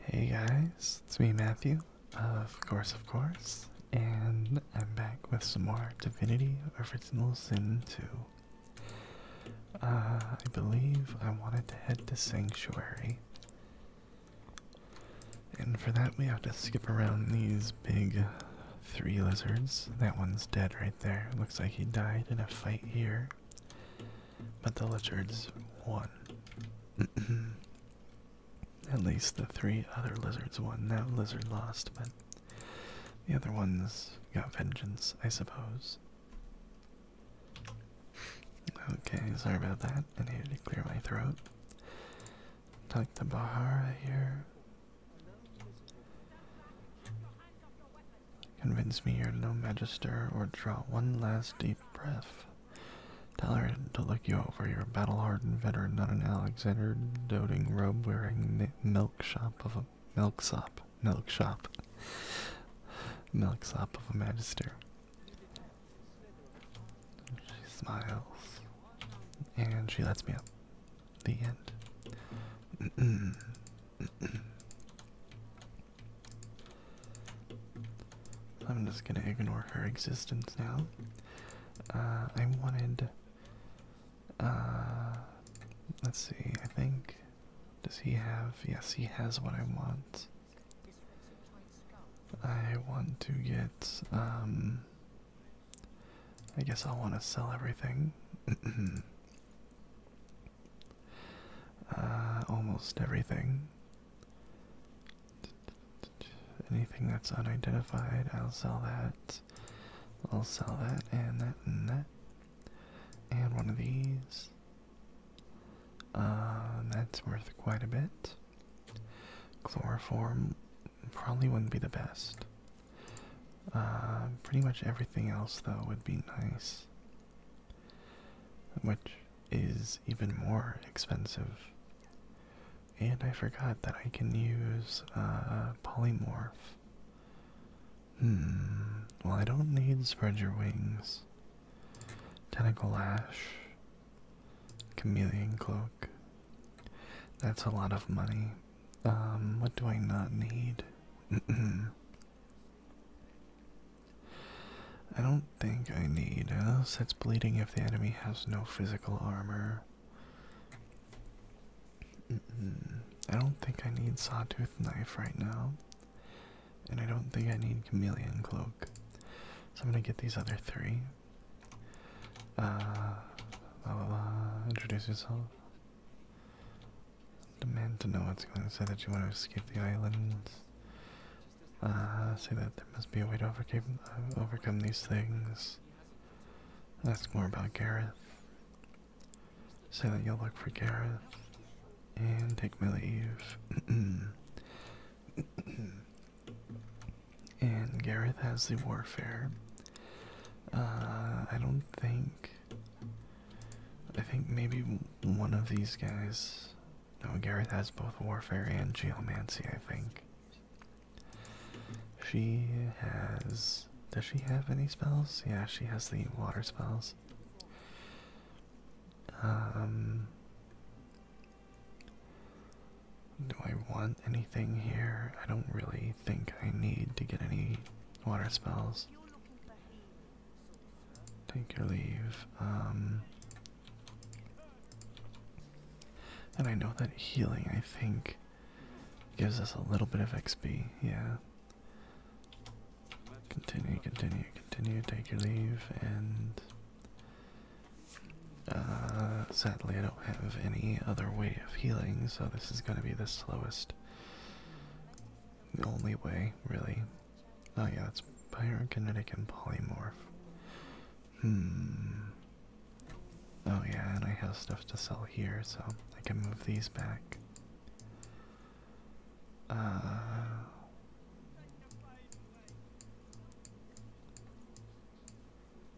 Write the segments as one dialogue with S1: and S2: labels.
S1: Hey guys, it's me Matthew, of course, of course, and I'm back with some more Divinity Original Sin 2. Uh, I believe I wanted to head to Sanctuary, and for that we have to skip around these big three lizards. That one's dead right there, looks like he died in a fight here but the lizards won. At least the three other lizards won. That lizard lost, but the other ones got vengeance, I suppose. Okay, sorry about that. I needed to clear my throat. Tuck the Bahara here. Convince me you're no magister, or draw one last deep breath. Tell her to look you over. You're a battle-hardened veteran, not an Alexander doting robe-wearing milk shop of a milk sop, milk shop, milk of a magister. She smiles, and she lets me up. The end. I'm just gonna ignore her existence now. Uh, I wanted. Uh, let's see, I think. Does he have. Yes, he has what I want. I want to get. Um, I guess I'll want to sell everything. Uh, almost everything. Anything that's unidentified, I'll sell that. I'll sell that and that and that. And one of these. Uh, that's worth quite a bit. Chloroform probably wouldn't be the best. Uh, pretty much everything else, though, would be nice which is even more expensive. And I forgot that I can use uh, polymorph. Hmm. Well, I don't need spread your wings. Tentacle lash. Chameleon cloak. That's a lot of money. Um, what do I not need? I don't think I need uh, sets bleeding if the enemy has no physical armor. I don't think I need sawtooth knife right now. And I don't think I need chameleon cloak. So I'm gonna get these other three. Uh, la la la, introduce yourself. Demand to know what's going on. Say that you want to escape the island. Uh, say that there must be a way to overcome, uh, overcome these things. Ask more about Gareth. Say that you'll look for Gareth. And take my leave. and Gareth has the warfare. Uh, I don't think. I think maybe one of these guys no, Gareth has both warfare and geomancy, I think. She has. Does she have any spells? Yeah, she has the water spells. Um. Do I want anything here? I don't really think I need to get any water spells. Take your leave. Um, and I know that healing, I think, gives us a little bit of XP. Yeah. Continue, continue, continue. Take your leave, and uh, sadly, I don't have any other way of healing, so this is going to be the slowest. The only way, really. Oh yeah, it's pyrokinetic and polymorph. Hmm. Oh yeah, and I have stuff to sell here, so I can move these back. Uh.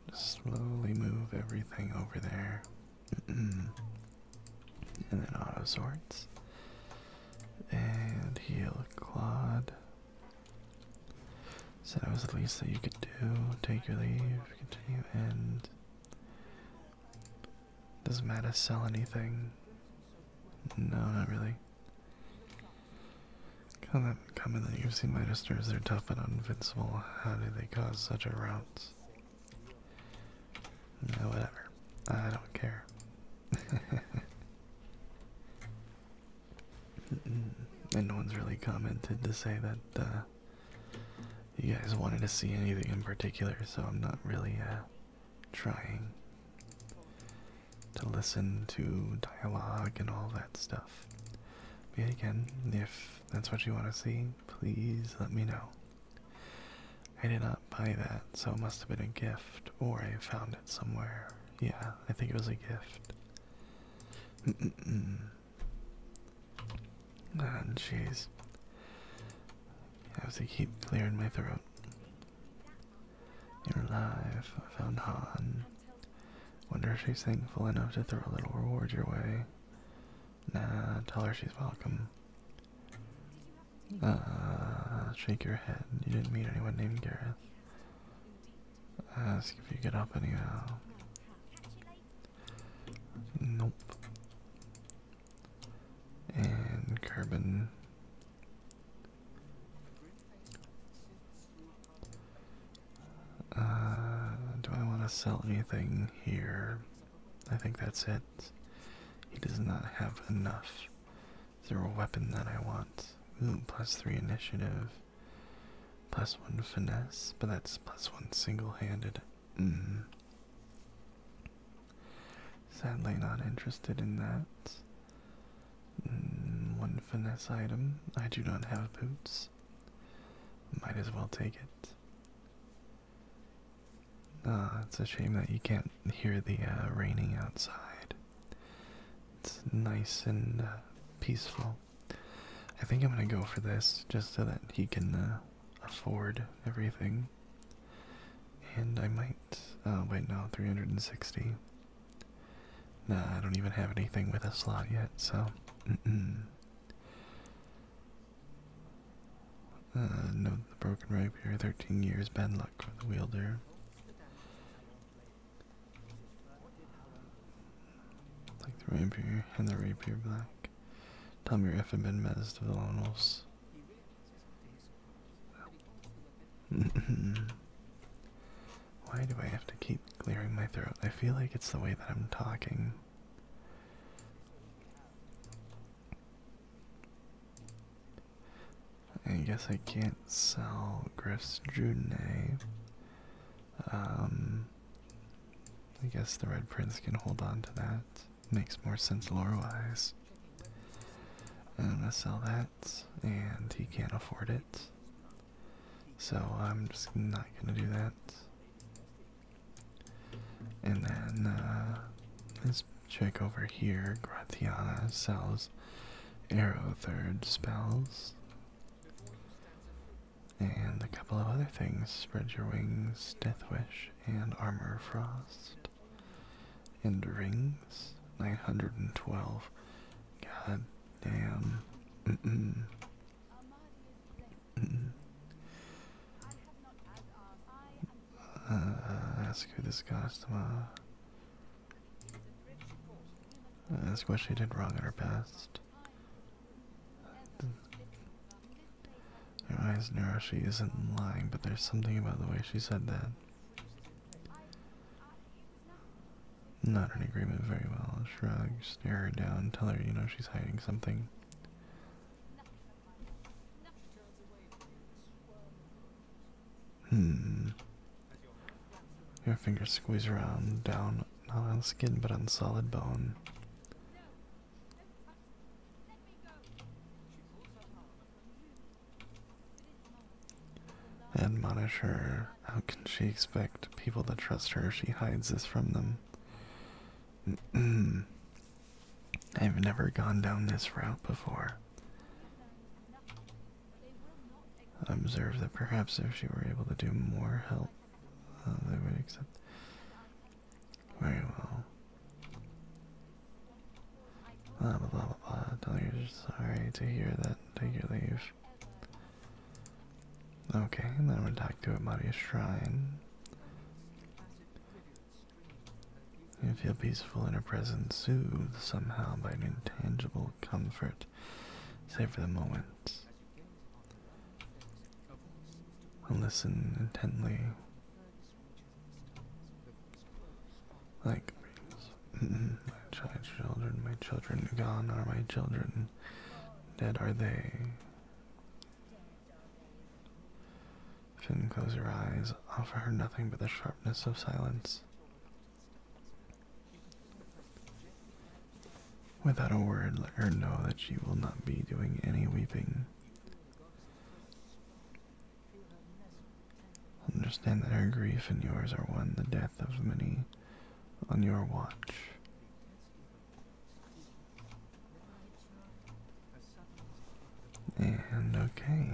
S1: Just slowly move everything over there. and then auto sorts. And heal Claude. So that was the least that you could do. Take your leave, continue, and. Doesn't matter, sell anything. No, not really. Come. comment that you've seen my sisters, they're tough and invincible. How do they cause such a rout? No, whatever. I don't care. And no one's really commented to say that uh, you guys wanted to see anything in particular, so I'm not really uh, trying to listen to dialogue and all that stuff. But again, if that's what you want to see, please let me know. I did not buy that, so it must have been a gift, or I found it somewhere. Yeah, I think it was a gift. Mm -mm -mm. Ah, jeez. Have to keep clearing my throat. You're alive. found Han. Wonder if she's thankful enough to throw a little reward your way. Nah, tell her she's welcome. Uh, shake your head. You didn't meet anyone named Gareth. Ask if you get up anyhow. Nope. And carbon. Uh, do I want to sell anything here? I think that's it. He does not have enough. Is there a weapon that I want? Ooh, plus three initiative. Plus one finesse, but that's plus one single-handed. Mm-hmm. Sadly, not interested in that. Mm, one finesse item. I do not have boots. Might as well take it. Ah, it's a shame that you can't hear the uh, raining outside. It's nice and uh, peaceful. I think I'm gonna go for this just so that he can uh, afford everything. And I might. Oh, wait, no, 360. Nah, I don't even have anything with a slot yet, so. Mm no, the broken here. 13 years, bad luck for the wielder. Like the rapier and the rapier black. Tell me if your effing been menace to the lone wolves. Why do I have to keep clearing my throat? I feel like it's the way that I'm talking. I guess I can't sell Griff's Judene. Um, I guess the Red Prince can hold on to that. Makes more sense lore-wise. I'm gonna sell that, and he can't afford it. So I'm just not gonna do that. And then uh, this chick over here, Gratiana, sells arrow third spells, and a couple of other things. Spread your wings, death wish, and armor frost, and rings. 912. God damn. Mm -mm. Mm -mm. Uh, ask who this Gostama uh, that's what she did wrong at her best. I eyes narrow, she isn't lying, but there's something about the way she said that. Not in agreement very well. Shrug, stare her down, tell her you know she's hiding something. Hmm. Your fingers squeeze around down, not on skin, but on solid bone. Admonish her. How can she expect people to trust her if she hides this from them? I've never gone down this route before observed that perhaps if she were able to do more help, uh, they would accept. Very well. Blah blah blah Tell you sorry to hear that. Take your leave. Okay, and then we're talk to Amadia's shrine. You feel peaceful in her presence, soothed somehow by an intangible comfort, save for the moment. listen intently. Like mm-hmm, my child children, my children gone are my children, dead are they. Finn close your eyes, offer her nothing but the sharpness of silence. Without a word, let her know that she will not be doing any weeping. Understand that her grief and yours are one, the death of many on your watch. And okay.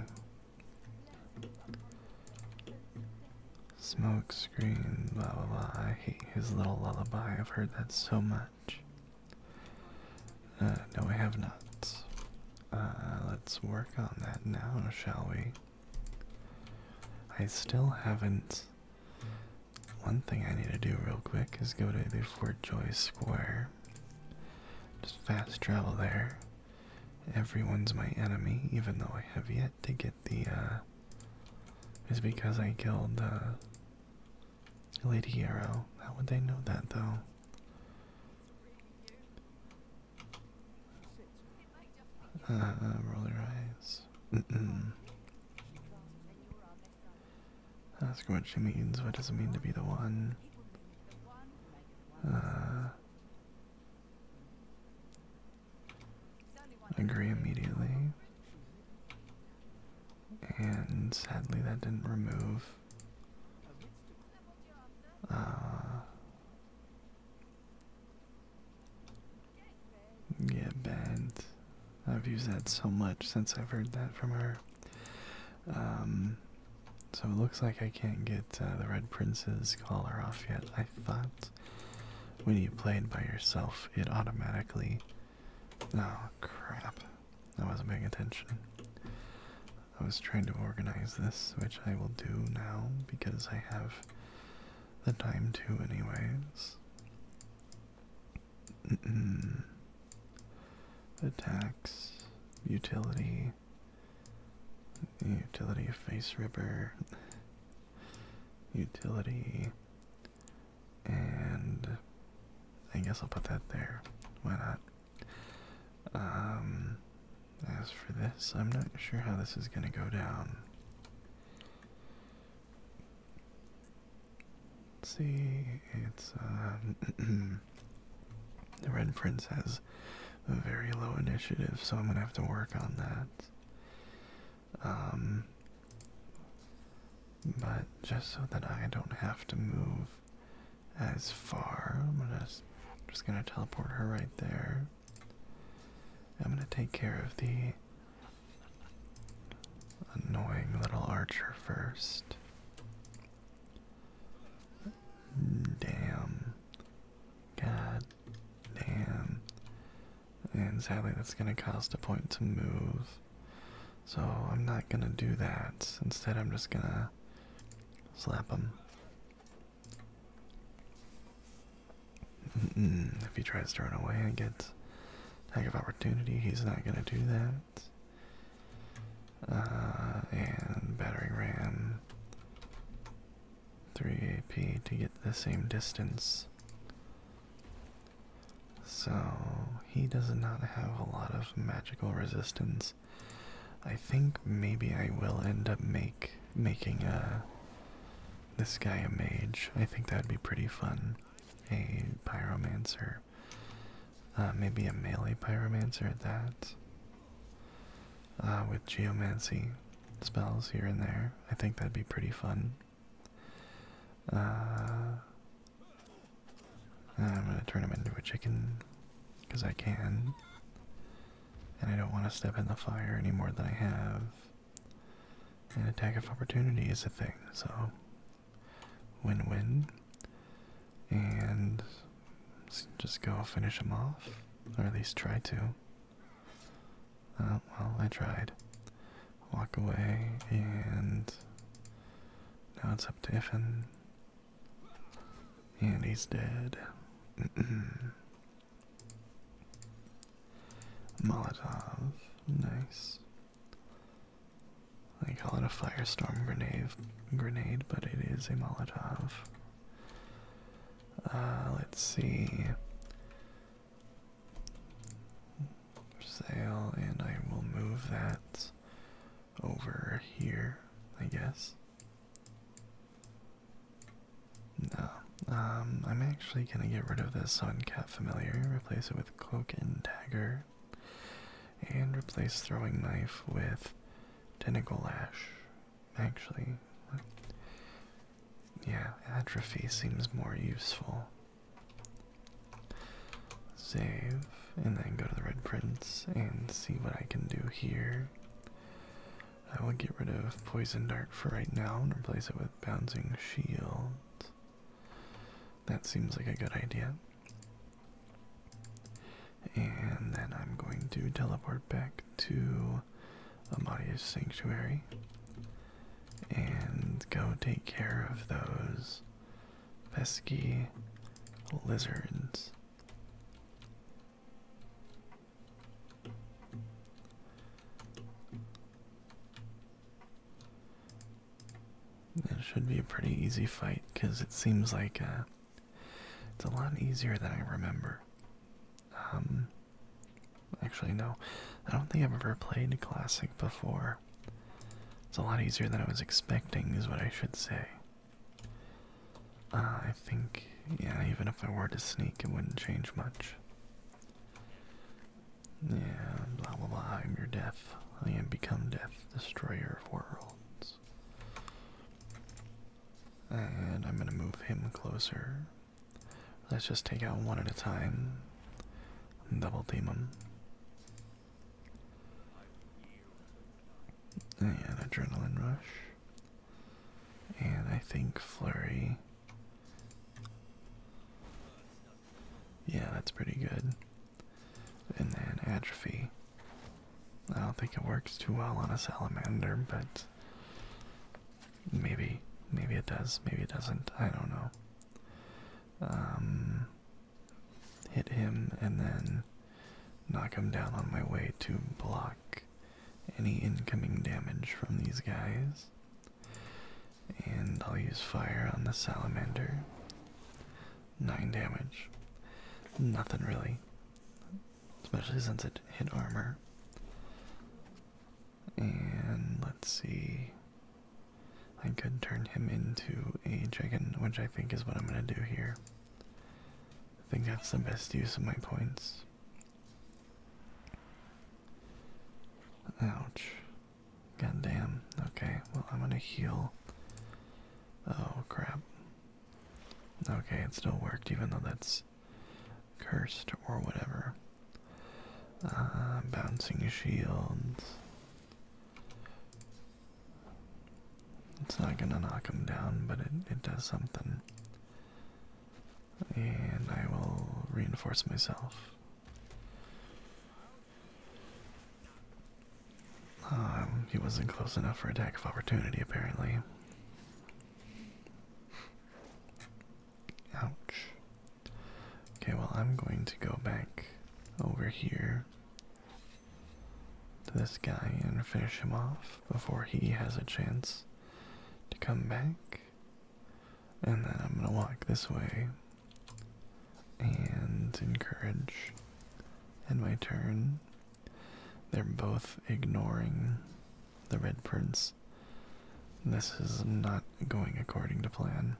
S1: Smoke screen, blah blah blah. I hate his little lullaby. I've heard that so much. Uh, no, I have not. Uh, let's work on that now, shall we? I still haven't. One thing I need to do real quick is go to the Fort Joy Square. Just fast travel there everyone's my enemy, even though I have yet to get the, uh, is because I killed, uh, Lady Hero. How would they know that, though? Uh, uh, roll your eyes. Mm-mm. what she means, what does it mean to be the one? Agree immediately. And sadly, that didn't remove. Uh, yeah, bad. I've used that so much since I've heard that from her. Um, so it looks like I can't get uh, the Red Prince's collar off yet. I thought when you played by yourself, it automatically. Oh crap! I wasn't paying attention. I was trying to organize this, which I will do now because I have the time to, anyways. Attacks, utility, Utility face ripper. Utility. And I guess I'll put that there. Why not? Um, as for this, I'm not sure how this is going to go down. see, it's um, the Red Prince has very low initiative, so I'm gonna have to work on that. Um, but just so that I don't have to move as far, I'm gonna just gonna teleport her right there. I'm gonna take care of the annoying little archer first. Damn. God damn. And sadly, that's going to cost a point to move. So I'm not going to do that. Instead, I'm just going to slap him. If he tries to run away and get attack of opportunity, he's not going to do that. Uh, and battering ram. 3 AP to get the same distance. So he does not have a lot of magical resistance. I think maybe I will end up make making a uh, this guy a mage. I think that'd be pretty fun. A pyromancer. Uh, maybe a melee pyromancer at that. Uh, with geomancy spells here and there. I think that'd be pretty fun. Uh, I'm gonna turn him into a chicken because I can, and I don't want to step in the fire any more than I have. An attack of opportunity is a thing, so win-win. And just go finish him off, or at least try to. Uh, well, I tried. Walk away, and now it's up to Iffin. And he's dead. Molotov, nice. I call it a firestorm grenade, grenade, but it is a Molotov. Uh, let's see. sale, and I will move that over here, I guess. No, um, I'm actually gonna get rid of this on Cat Familiar, replace it with Cloak and Dagger, and replace Throwing Knife with Tentacle Lash actually. Yeah, atrophy seems more useful. Save, and then go to the Red Prince and see what I can do here. I will get rid of Poison Dart for right now and replace it with Bouncing Shield. That seems like a good idea. And then I'm going to teleport back to Amadia's Sanctuary and go take care of those pesky lizards. It should be a pretty easy fight because it seems like uh, it's a lot easier than I remember. Um, actually, no. I don't think I've ever played Classic before. It's a lot easier than I was expecting, is what I should say. Uh, I think, yeah, even if I were to sneak, it wouldn't change much. Yeah, blah blah blah, I'm your death. I am become death, destroyer of worlds. And I'm gonna move him closer. Let's just take out one at a time. Double team them. And adrenaline rush. And I think flurry. Yeah, that's pretty good. And then atrophy. I don't think it works too well on a salamander, but Maybe, maybe it does. Maybe it doesn't. I don't know. Um, hit him and then knock him down on my way to block any incoming damage from these guys. And I'll use fire on the salamander. Nine damage. Nothing really. Especially since it hit armor. And let's see. I could turn him into a dragon, which I think is what I'm going to do here. I think that's the best use of my points. Ouch. God damn. Okay, well, I'm going to heal. Oh, crap. Okay, it still worked, even though that's cursed or whatever. Uh, bouncing shields. It's not gonna knock him down, but it, it does something. And I will reinforce myself. Um, he wasn't close enough for attack of opportunity, apparently. Ouch. Okay, well, I'm going to go back over here to this guy and finish him off before he has a chance to come back. And then I'm going to walk this way and encourage. In my turn. They're both ignoring the Red Prince. This is not going according to plan.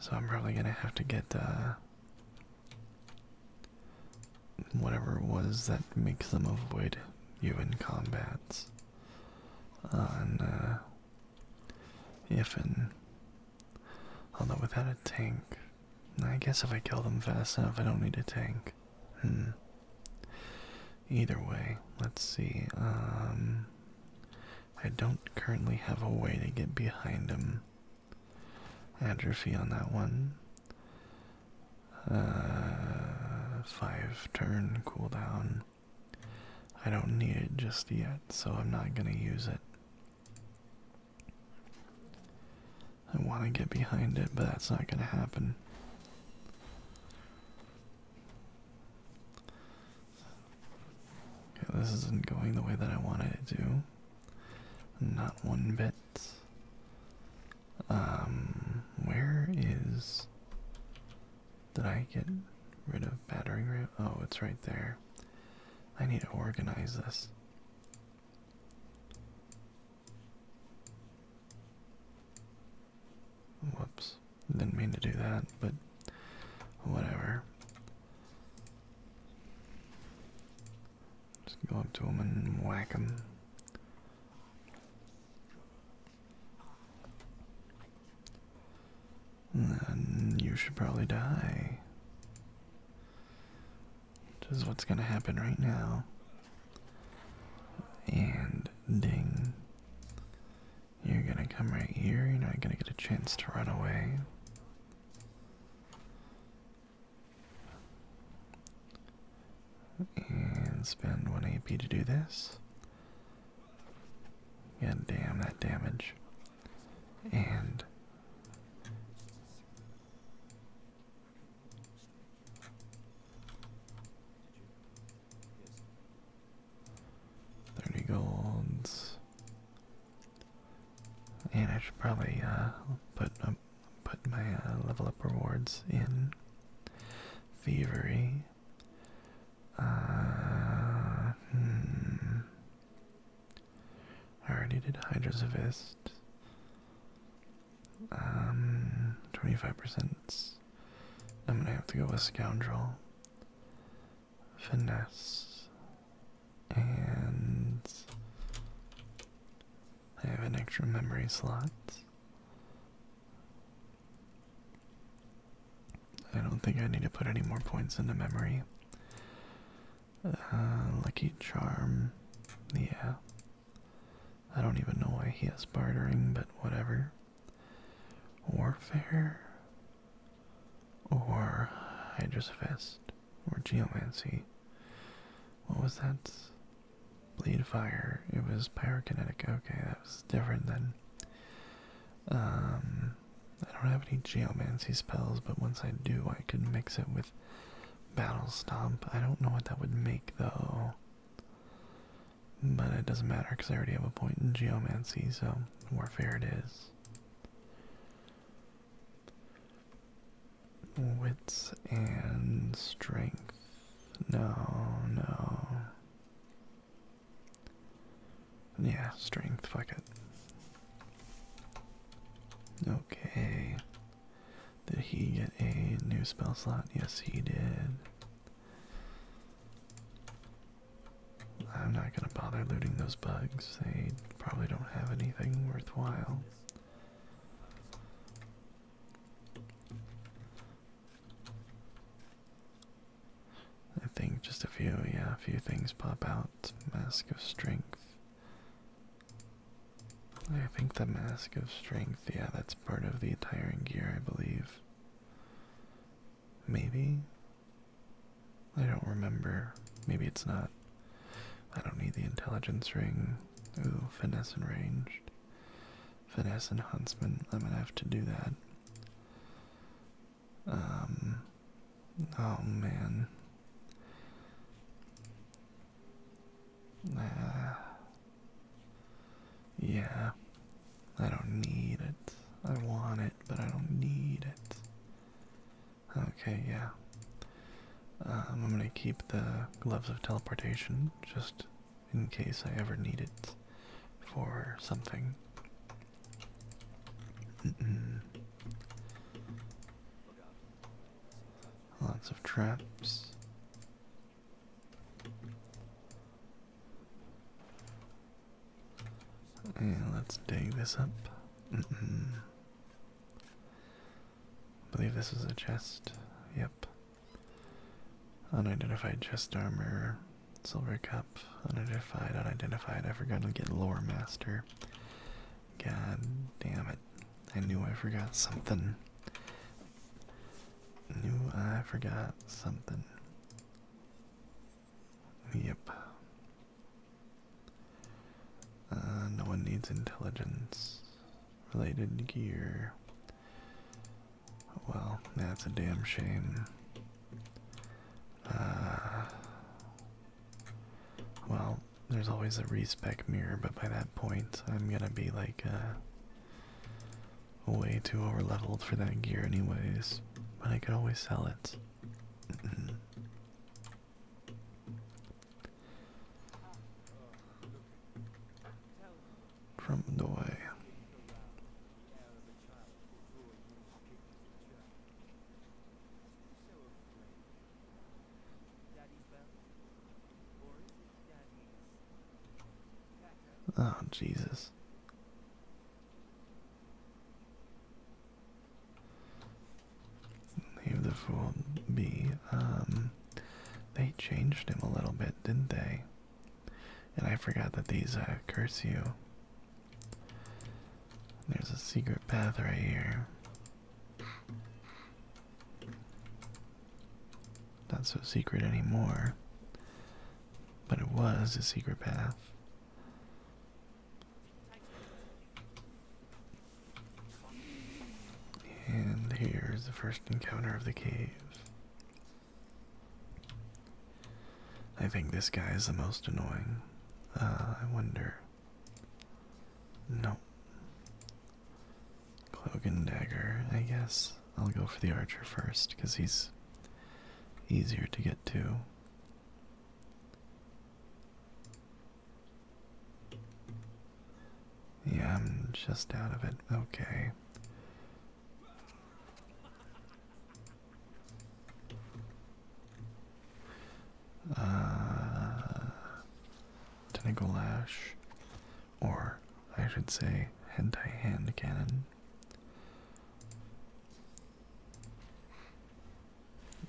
S1: So I'm probably going to have to get uh, whatever it was that makes them avoid human combats and if and Although without a tank, I guess if I kill them fast enough, I don't need a tank. Hmm. Either way, let's see. Um, I don't currently have a way to get behind him. Atrophy on that one. Uh, five turn cooldown. I don't need it just yet, so I'm not gonna use it. I want to get behind it, but that's not gonna happen. Okay, this isn't going the way that I wanted it to. Not one bit. Um, where is. Did I get rid of battering ram? Oh, it's right there. I need to organize this. Whoops. Didn't mean to do that, but whatever. Just go up to him and whack him. Then you should probably die. Which is what's gonna happen right now. And ding. You're gonna come right here, you're not gonna get a chance to run away. And spend 1 AP to do this. And damn that damage. And Thirty golds. And I should probably uh, put put my uh, level up rewards in thievery. Uh, hmm. I already did Hydrosavist. Um, twenty-five percent I'm gonna have to go with Scoundrel, Finesse, and I have an extra memory slot. I don't think I need to put any more points into memory. Uh, Lucky Charm, yeah. I don't even know why he is bartering, but whatever. Warfare or Hydra's Fist or Geomancy. What was that? Bleed Fire. It was Pyrokinetic. Okay, that was different then. Um, I don't have any Geomancy spells, but once I do, I could mix it with Battle Stomp. I don't know what that would make though. But it doesn't matter because I already have a point in geomancy, so warfare it is. Wits and strength. No, no. Yeah, strength, fuck it. Okay. Did he get a new spell slot? Yes, he did. I'm not gonna bother looting those bugs. They probably don't have anything worthwhile. I think just a few, yeah, a few things pop out. Mask of Strength. I think the Mask of Strength, yeah, that's part of the Tyrant Gear, I believe. Maybe? I don't remember. Maybe it's not. I don't need the intelligence ring. Ooh, finesse and ranged. Finesse and huntsman. I'm gonna have to do that. Um. Oh man. Uh, yeah, I don't need it. I want it, but I don't need it. Okay, yeah. Um, I'm gonna keep the gloves of teleportation just in case I ever need it for something. Lots of traps let's dig this up. Mm-hmm. believe this is a chest. Yep. Unidentified chest armor, silver cup, unidentified, unidentified. I forgot to get lore master. God damn it. I knew I forgot something. Knew I forgot something. Yep. Uh, no one needs intelligence related gear. Well, that's a damn shame. Uh, well, there's always a respec mirror, but by that point, I'm gonna be like, uh, way too overleveled for that gear anyways, but I could always sell it. Mm-hmm. From the way. Oh, Jesus. Leave the fool be. Um, they changed him a little bit, didn't they? And I forgot that these uh, curse you. There's a secret path right here. Not so secret anymore. But it was a secret path. And here's the first encounter of the cave. I think this guy is the most annoying. Uh, I wonder. No. Cloak and dagger, I guess. I'll go for the archer first because he's easier to get to. Yeah, I'm just out of it. Okay. Uh, tentacle or I should say, hentai hand cannon.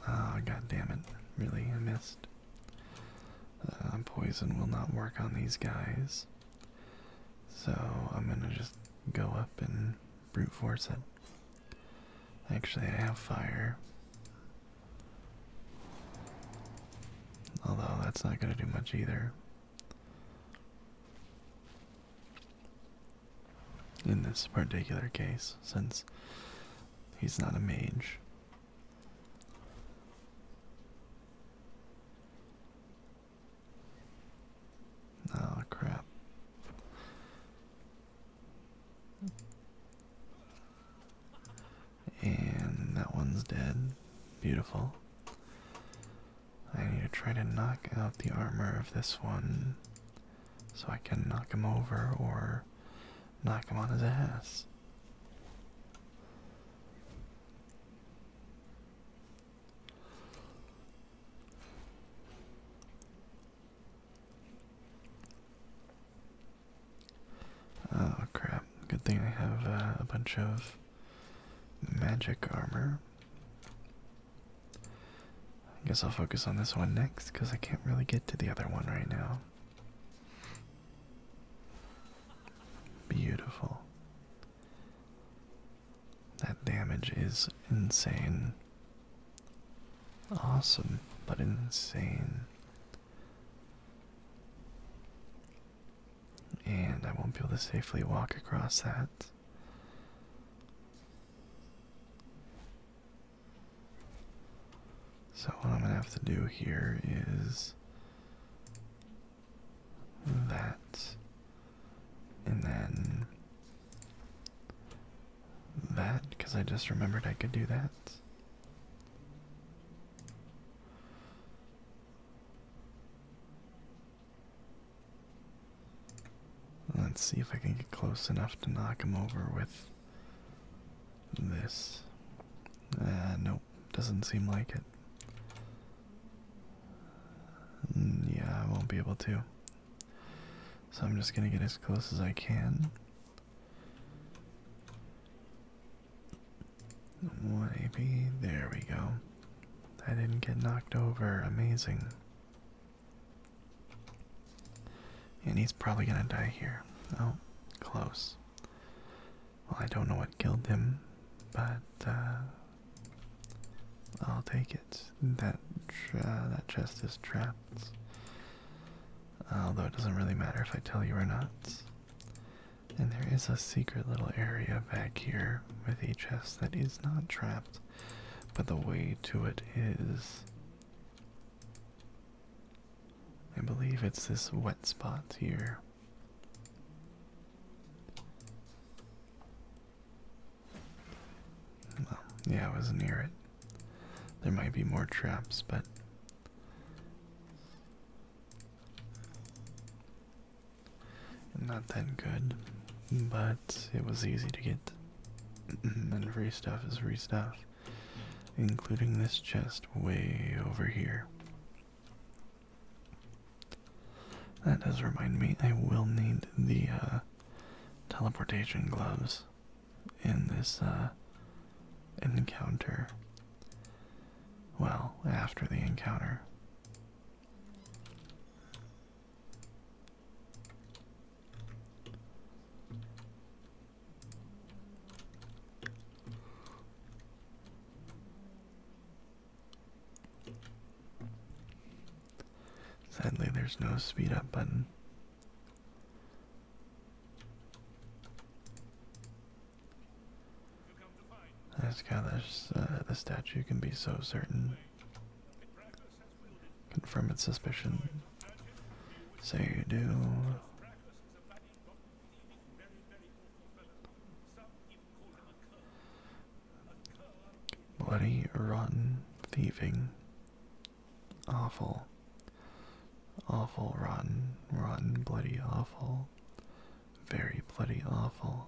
S1: Ah, god damn it. Really, I missed. Uh, poison will not work on these guys. So I'm gonna just go up and brute force it. Actually, I have fire. Although that's not gonna do much either. In this particular case, since he's not a mage. Oh crap. And that one's dead. Beautiful. I need to try to knock out the armor of this one so I can knock him over or knock him on his ass. Oh crap, good thing I have uh, a bunch of magic armor. I guess I'll focus on this one next because I can't really get to the other one right now. Beautiful. That damage is insane. Awesome, but insane. And I won't be able to safely walk across that. So what I'm going to have to do here is that and then that because I just remembered I could do that. Let's see if I can get close enough to knock him over with this. Uh, no, doesn't seem like it. Mm, yeah, I won't be able to. So I'm just gonna get as close as I can. One AP, there we go. I didn't get knocked over. Amazing. And he's probably gonna die here. Oh, close. Well, I don't know what killed him, but uh, I'll take it. That uh, that chest is trapped. Although it doesn't really matter if I tell you or not. And there is a secret little area back here with a chest that is not trapped. But the way to it is. I believe it's this wet spot here. yeah, I was near it. There might be more traps, but not that good, but it was easy to get. Mm-hmm. and free stuff is free stuff, including this chest way over here. That does remind me, I will need the uh, teleportation gloves in this uh, encounter. Well, after the encounter. Sadly, there's no speed up button. I just got the statue can be so certain. Confirm its suspicion. Say you do. Bloody, rotten, thieving. Awful. Awful, rotten, rotten, bloody, awful. Very bloody, awful.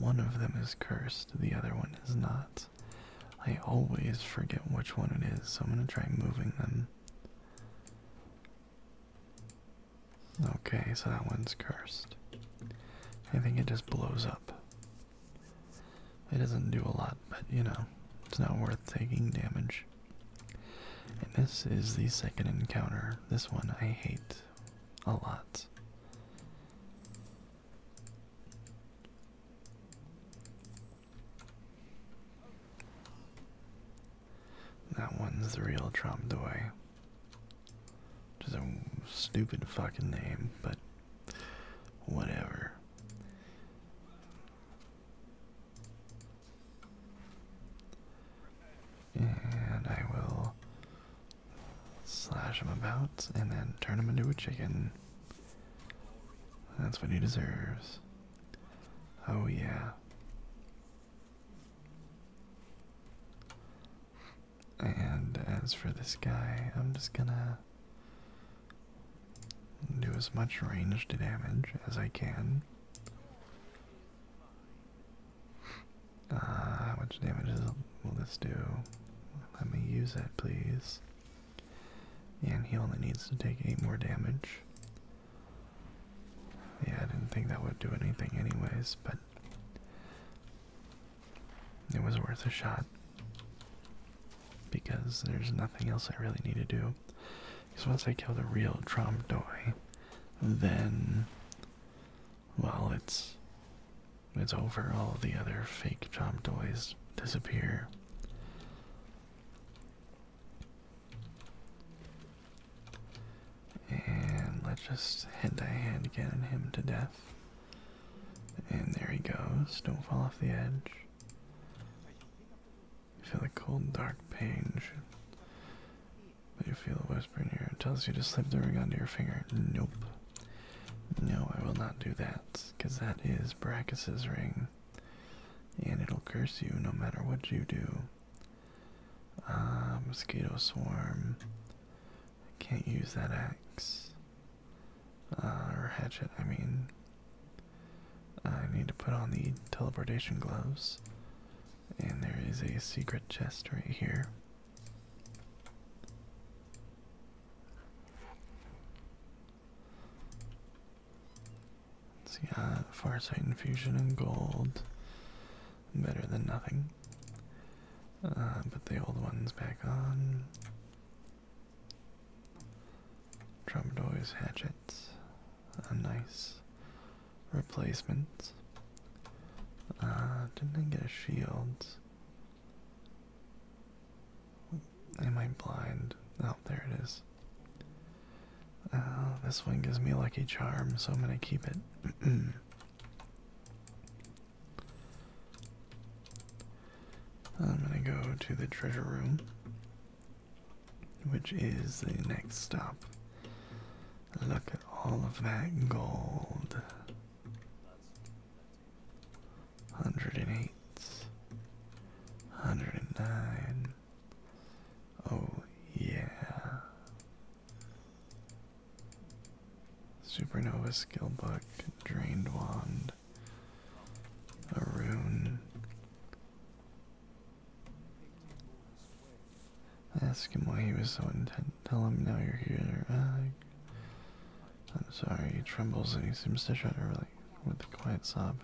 S1: One of them is cursed, the other one is not. I always forget which one it is, so I'm going to try moving them. Okay, so that one's cursed. I think it just blows up. It doesn't do a lot, but you know, it's not worth taking damage. And this is the second encounter. This one I hate a lot. That one's the real Trump Tromdoy. Just a stupid fucking name, but whatever. And I will Slash him about and then turn him into a chicken. That's what he deserves. Oh, yeah. And as for this guy, I'm just gonna do as much ranged damage as I can. Ah, uh, how much damage will this do? Let me use it, please. And he only needs to take 8 more damage. Yeah, I didn't think that would do anything anyways, but it was worth a shot. Because there's nothing else I really need to do. Because once I kill the real Tromdoi, then well, it's it's over. All the other fake job toys disappear. And let's just head to hand cannon him to death. And there he goes. Don't fall off the edge. You feel the cold, dark pain. Should, but you feel a whisper in your ear. It tells you to slip the ring onto your finger. Nope. No, I will not do that, because that is Brachus's ring. And it'll curse you no matter what you do. Ah, mosquito swarm. I can't use that axe. Ah, or hatchet, I mean. I need to put on the teleportation gloves. And there is a secret chest right here. So yeah, uh, Farsight Infusion and Gold, better than nothing. Uh, put the old ones back on. Troubadour's Hatchets, a nice replacement. Uh, didn't get a shield? Am I blind? Oh, there it is. Uh, this one gives me a lucky charm, so I'm gonna keep it. I'm gonna go to the treasure room, which is the next stop. Look at all of that gold. Hundred and eight, hundred and nine. Oh yeah. Supernova skill book, drained wand, a rune. Ask him why he was so intent Tell him now you're here. Uh, I'm sorry. He trembles and he seems to shudder really with a quiet sob.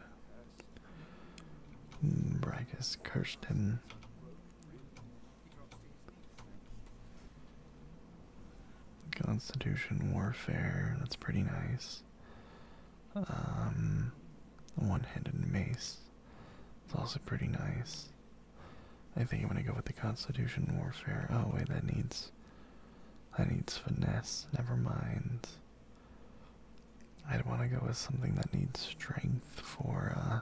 S1: Mm, Brackus cursed him. Constitution warfare. That's pretty nice. Um, one-handed mace. It's also pretty nice. I think I'm gonna go with the Constitution Warfare. Oh wait, that needs that needs finesse. Never mind. I'd want to go with something that needs strength for uh,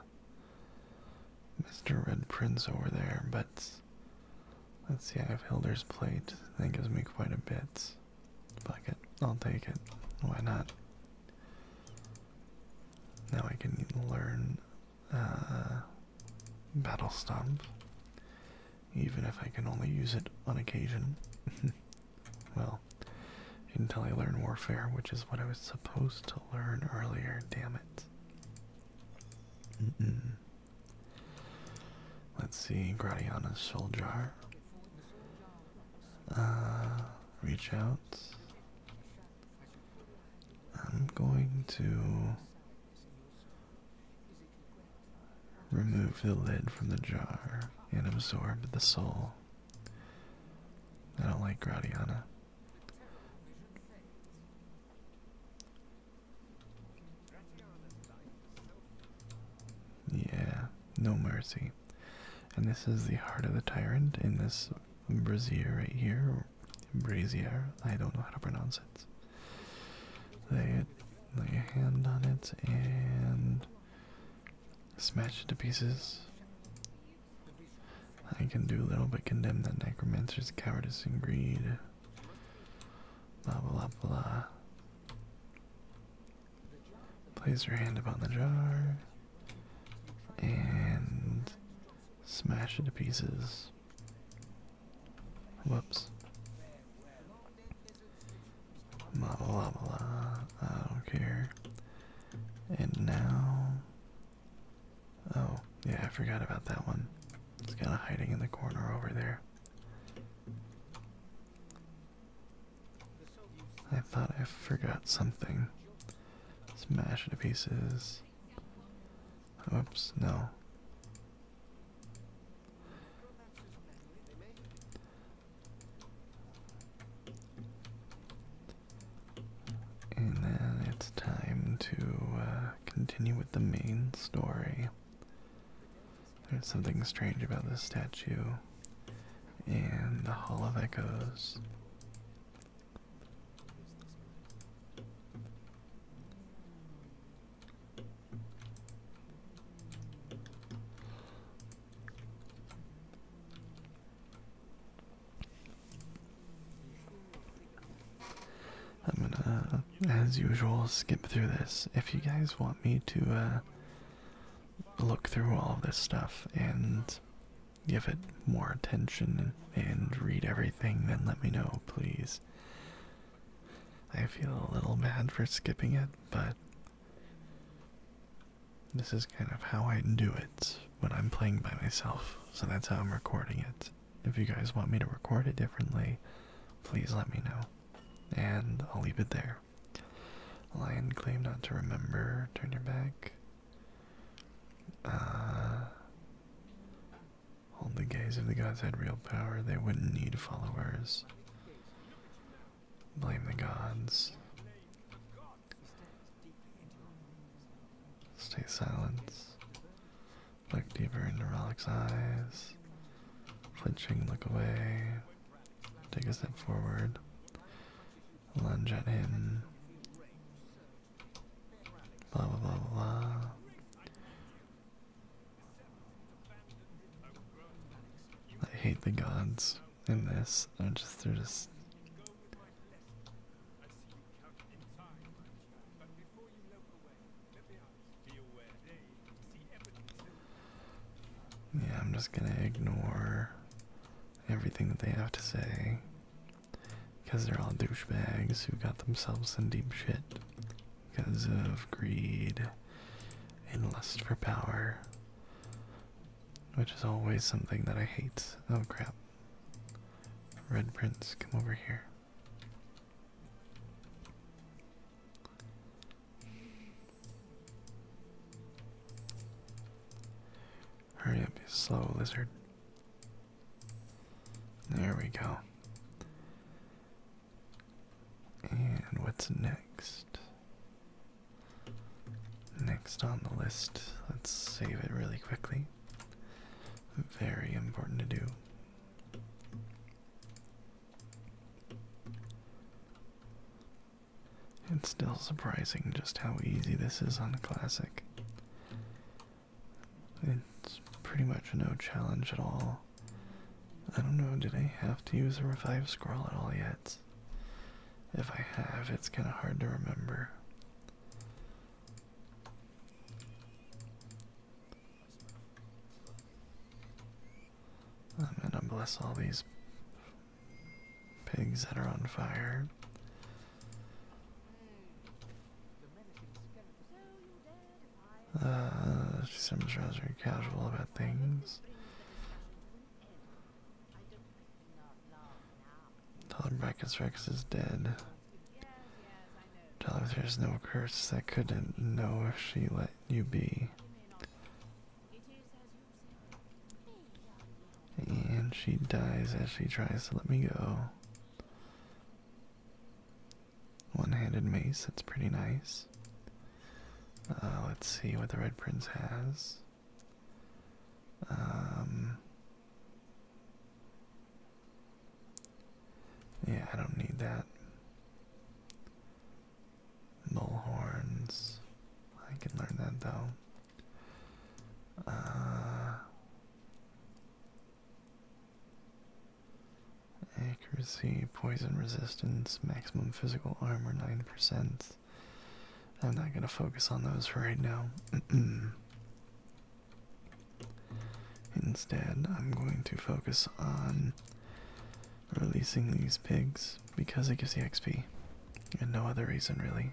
S1: Mr. Red Prince over there, but let's see. I have Hilder's plate. That gives me quite a bit. Fuck it. I'll take it. Why not? Now I can learn uh, battle stump, even if I can only use it on occasion. well, until I learn warfare, which is what I was supposed to learn earlier, damn it. Let's see, Gradiana's soul jar. Uh, reach out. I'm going to Remove the lid from the jar and absorb the soul. I don't like Gradiana. Yeah, no mercy. And this is the heart of the tyrant in this brazier right here, brazier. I don't know how to pronounce it. lay a hand on it and smash it to pieces. I can do little but condemn that necromancer's cowardice and greed. blah blah blah. Place your hand upon the jar and smash it to pieces. Whoops. Blah, blah, blah, I don't care. And now. Oh, yeah, I forgot about that one. It's kind of hiding in the corner over there. I thought I forgot something. Smash it to pieces. Oops, no. And then it's time to uh, continue with the main story. There's something strange about this statue and the Hall of Echoes. I'm gonna, as usual, skip through this. If you guys want me to uh, look through all this stuff and give it more attention and read everything, then let me know, please. I feel a little bad for skipping it, but this is kind of how I do it when I'm playing by myself, so that's how I'm recording it. If you guys want me to record it differently, please let me know. And I'll leave it there. Lion claim not to remember. Turn your back. Uh, Hold the gaze of the gods had real power, they wouldn't need followers. Blame the gods. Stay silent. Look deeper into Rollick's eyes. Flinching, look away. Take a step forward. Lunge at him. Blah blah blah blah. I hate the gods in this. I just they're just. Yeah, I'm just gonna ignore everything that they have to say because they're all douchebags who got themselves in deep shit because of greed and lust for power, which is always something that I hate. Oh crap. Red Prince, come over here. Hurry up, you slow lizard. There we go. And what's next? Next on the list, let's save it really quickly. Very important to do. It's still surprising just how easy this is on a classic. It's pretty much no challenge at all. I don't know, did I have to use a revive scroll at all yet? If I have, it's kind of hard to remember. I'm gonna bless all these pigs that are on fire. Uh, she seems rather casual about things. Tell her Brachus Rex is dead. Tell her there's no curse that couldn't know if she let you be. And she dies as she tries to let me go. One-handed mace, that's pretty nice. Uh, let's see what the Red Prince has. Um, yeah, I don't need that. Bullhorns. I can learn that though. Uh, Accuracy, poison resistance, maximum physical armor 9%. I'm not going to focus on those right now. Instead, I'm going to focus on releasing these pigs because it gives the XP and no other reason, really.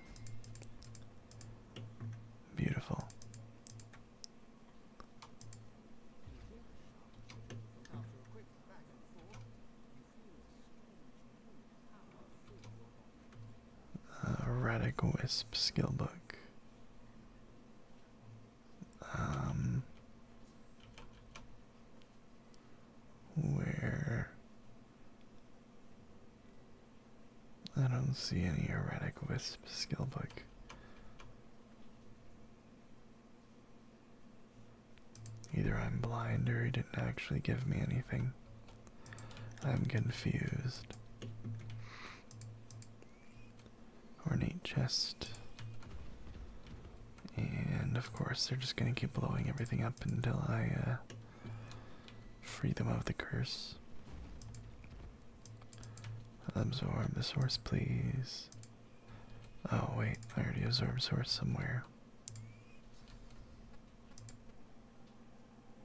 S1: Beautiful. Erratic uh, Wisp skill book. Um, where I don't see any erratic wisp skill book. Either I'm blind or he didn't actually give me anything. I'm confused. Ornate chest. And of course, they're just gonna keep blowing everything up until I uh, free them of the curse. Absorb the source, please. Oh, wait, I already absorbed source somewhere.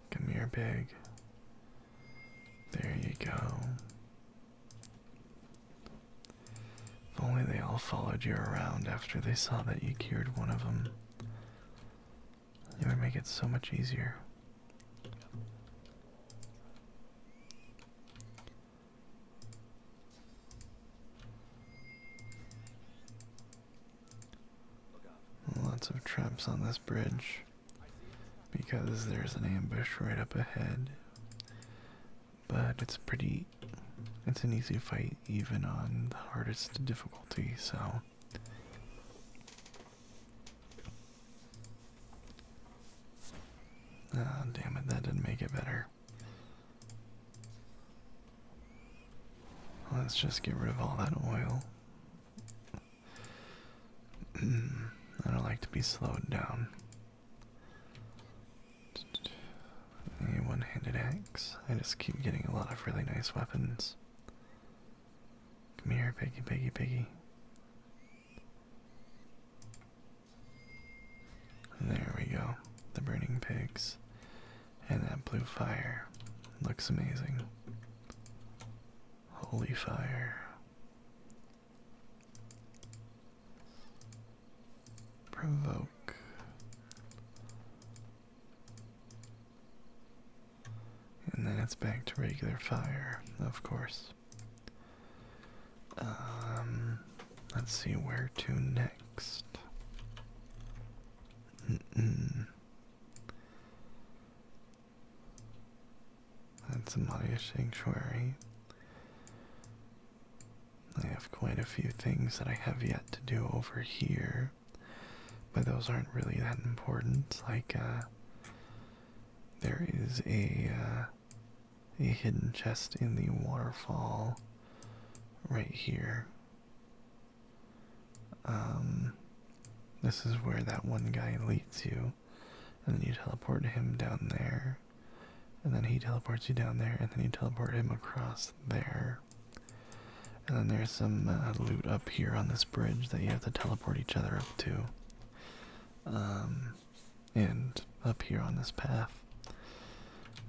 S1: Give me your bag. There you go. If only they all followed you around after they saw that you cured one of them. It would make it so much easier. Lots of traps on this bridge because there's an ambush right up ahead. But it's pretty, it's an easy fight even on the hardest difficulty, so Ah, oh, damn it, that didn't make it better. Let's just get rid of all that oil. Hmm, I don't like to be slowed down. A one-handed axe. I just keep getting a lot of really nice weapons. Come here, piggy, piggy, piggy. There we go. The burning pigs. And that blue fire. Looks amazing. Holy fire. Provoke. And then it's back to regular fire, of course. Um, let's see where to next. That's a Maria Sanctuary. I have quite a few things that I have yet to do over here, but those aren't really that important. Like, uh, there is a uh, a hidden chest in the waterfall right here. Um, this is where that one guy leads you, and then you teleport him down there, and then he teleports you down there, and then you teleport him across there. And then there's some uh, loot up here on this bridge that you have to teleport each other up to. Um, and up here on this path.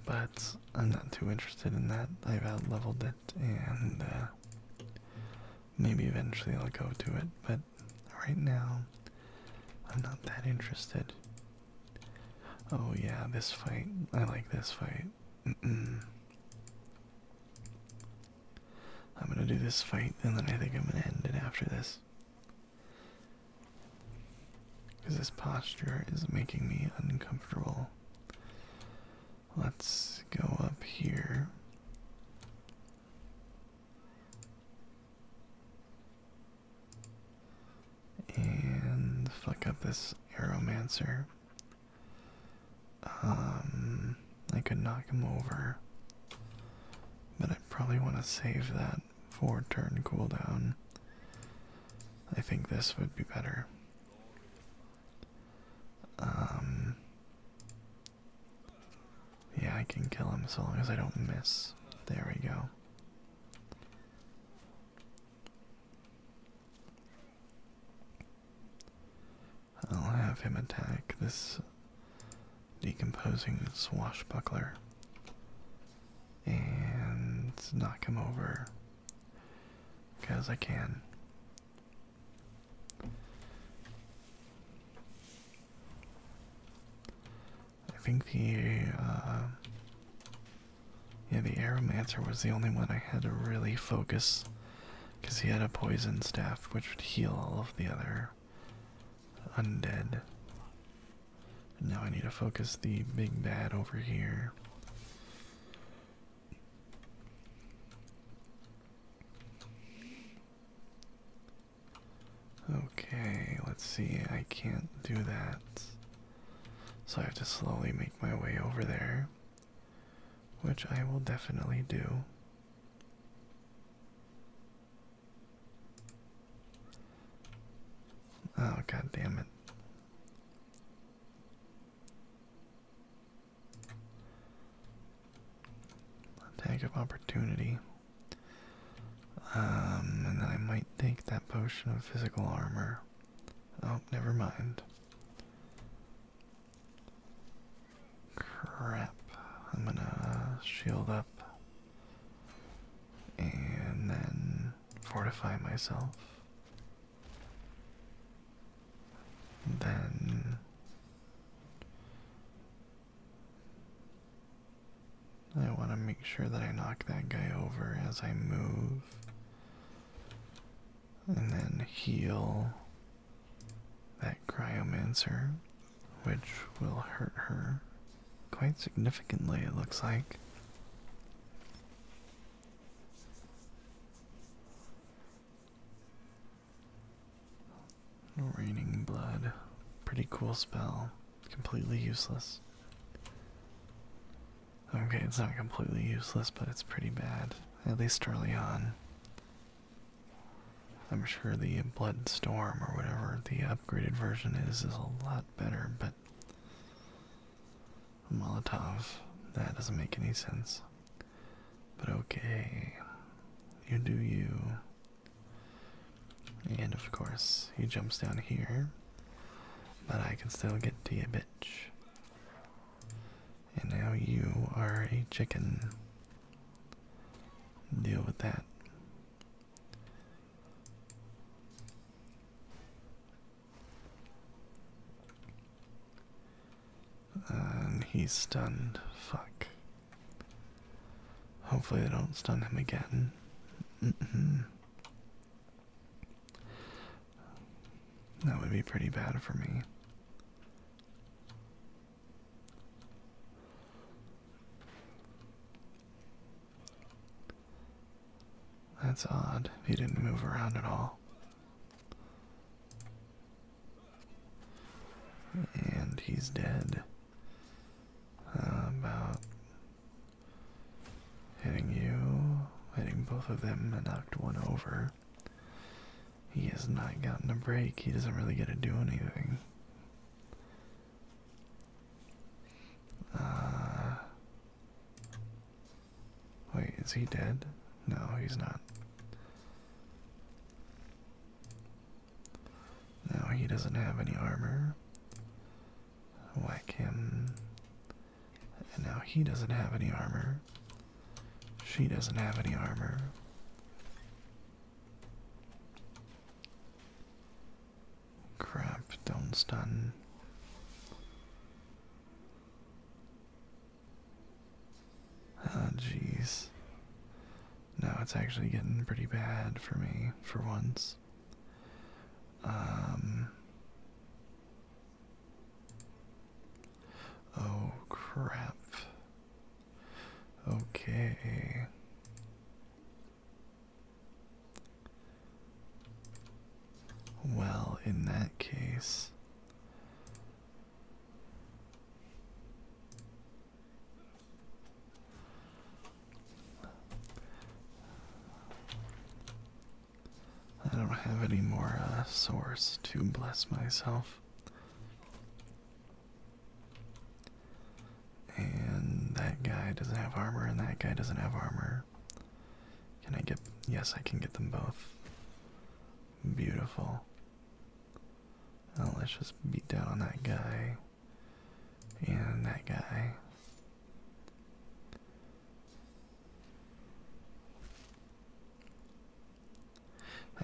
S1: But I'm not too interested in that. I've leveled it, and uh, maybe eventually I'll go to it. But right now, I'm not that interested. Oh yeah, this fight. I like this fight. I'm gonna do this fight, and then I think I'm gonna end it after this. Because this posture is making me uncomfortable. Let's go up here. And fuck up this Aromancer. Um, I could knock him over, but I probably want to save that. Four for turn cooldown. I think this would be better. Um, yeah, I can kill him so long as I don't miss. There we go. I'll have him attack this decomposing swashbuckler and knock him over because I can. I think the uh, yeah the aromancer was the only one I had to really focus because he had a poison staff which would heal all of the other undead. And now I need to focus the big bad over here. Okay, let's see. I can't do that. So I have to slowly make my way over there, which I will definitely do. Oh, god damn it. Attack of opportunity. Um, and then I might take that potion of physical armor. Oh, never mind. Crap. I'm gonna shield up and then fortify myself. Then I want to make sure that I knock that guy over as I move, and then heal that cryomancer which will hurt her quite significantly, it looks like. Raining blood. Pretty cool spell. Completely useless. Okay, it's not completely useless, but it's pretty bad, at least early on. I'm sure the Blood Storm or whatever the upgraded version is is a lot better, but Molotov, that doesn't make any sense. But okay, you do you. And of course, he jumps down here, but I can still get to you, bitch. And now you are a chicken. Deal with that. And he's stunned. Fuck. Hopefully, I don't stun him again. Mm-hmm. That would be pretty bad for me. That's odd. He didn't move around at all. And he's dead. about hitting you, hitting both of them, and knocked one over. He has not gotten a break. He doesn't really get to do anything. Uh, wait, is he dead? No, he's not. No, he doesn't have any armor. Whack him. And now he doesn't have any armor. She doesn't have any armor. Crap, don't stun. Oh, jeez. Now it's actually getting pretty bad for me, for once. Um. Oh, crap. Okay. Well, in that case, I don't have any more uh, source to bless myself. And that guy doesn't have armor, and that guy doesn't have armor. Can I get. Yes, I can get them both. Beautiful. let's just beat down on that guy. And that guy.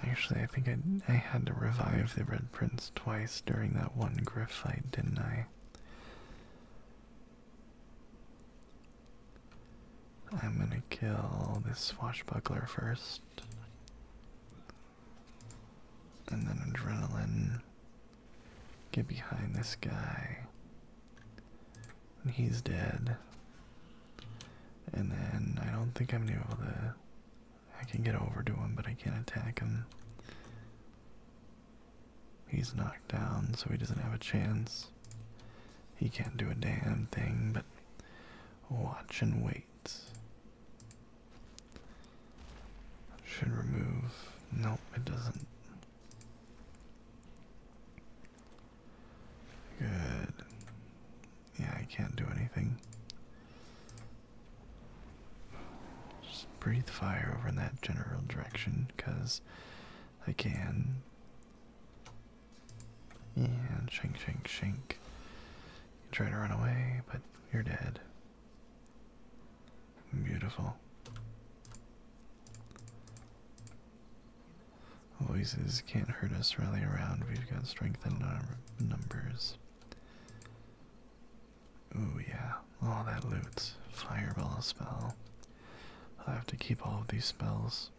S1: Actually, I think I, I had to revive the Red Prince twice during that one Griff fight, didn't I? I'm gonna kill this swashbuckler first. And then adrenaline. Get behind this guy. And he's dead. And then I don't think I'm gonna be able to I can get over to him, but I can't attack him. He's knocked down, so he doesn't have a chance. He can't do a damn thing, but watch and wait. Should remove. Nope, it doesn't. Good. Yeah, I can't do anything. Just breathe fire over in that general direction, because I can. And shink, shink, shank. You try to run away, but you're dead. Beautiful. Voices can't hurt us, Really, around. We've got strength in num numbers. Ooh, yeah. All that loot. Fireball spell. I have to keep all of these spells.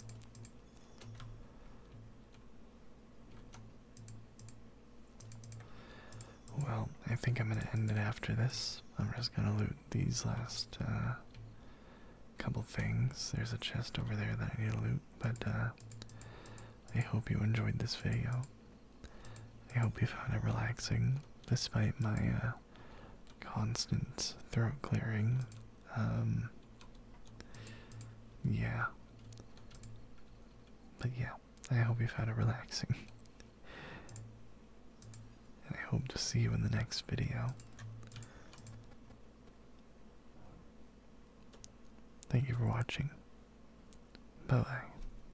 S1: Well, I think I'm gonna end it after this. I'm just gonna loot these last uh, couple things. There's a chest over there that I need to loot, but uh, I hope you enjoyed this video. I hope you found it relaxing, despite my uh, constant throat clearing. Um, yeah. But yeah, I hope you found it relaxing. and I hope to see you in the next video. Thank you for watching. Bye bye.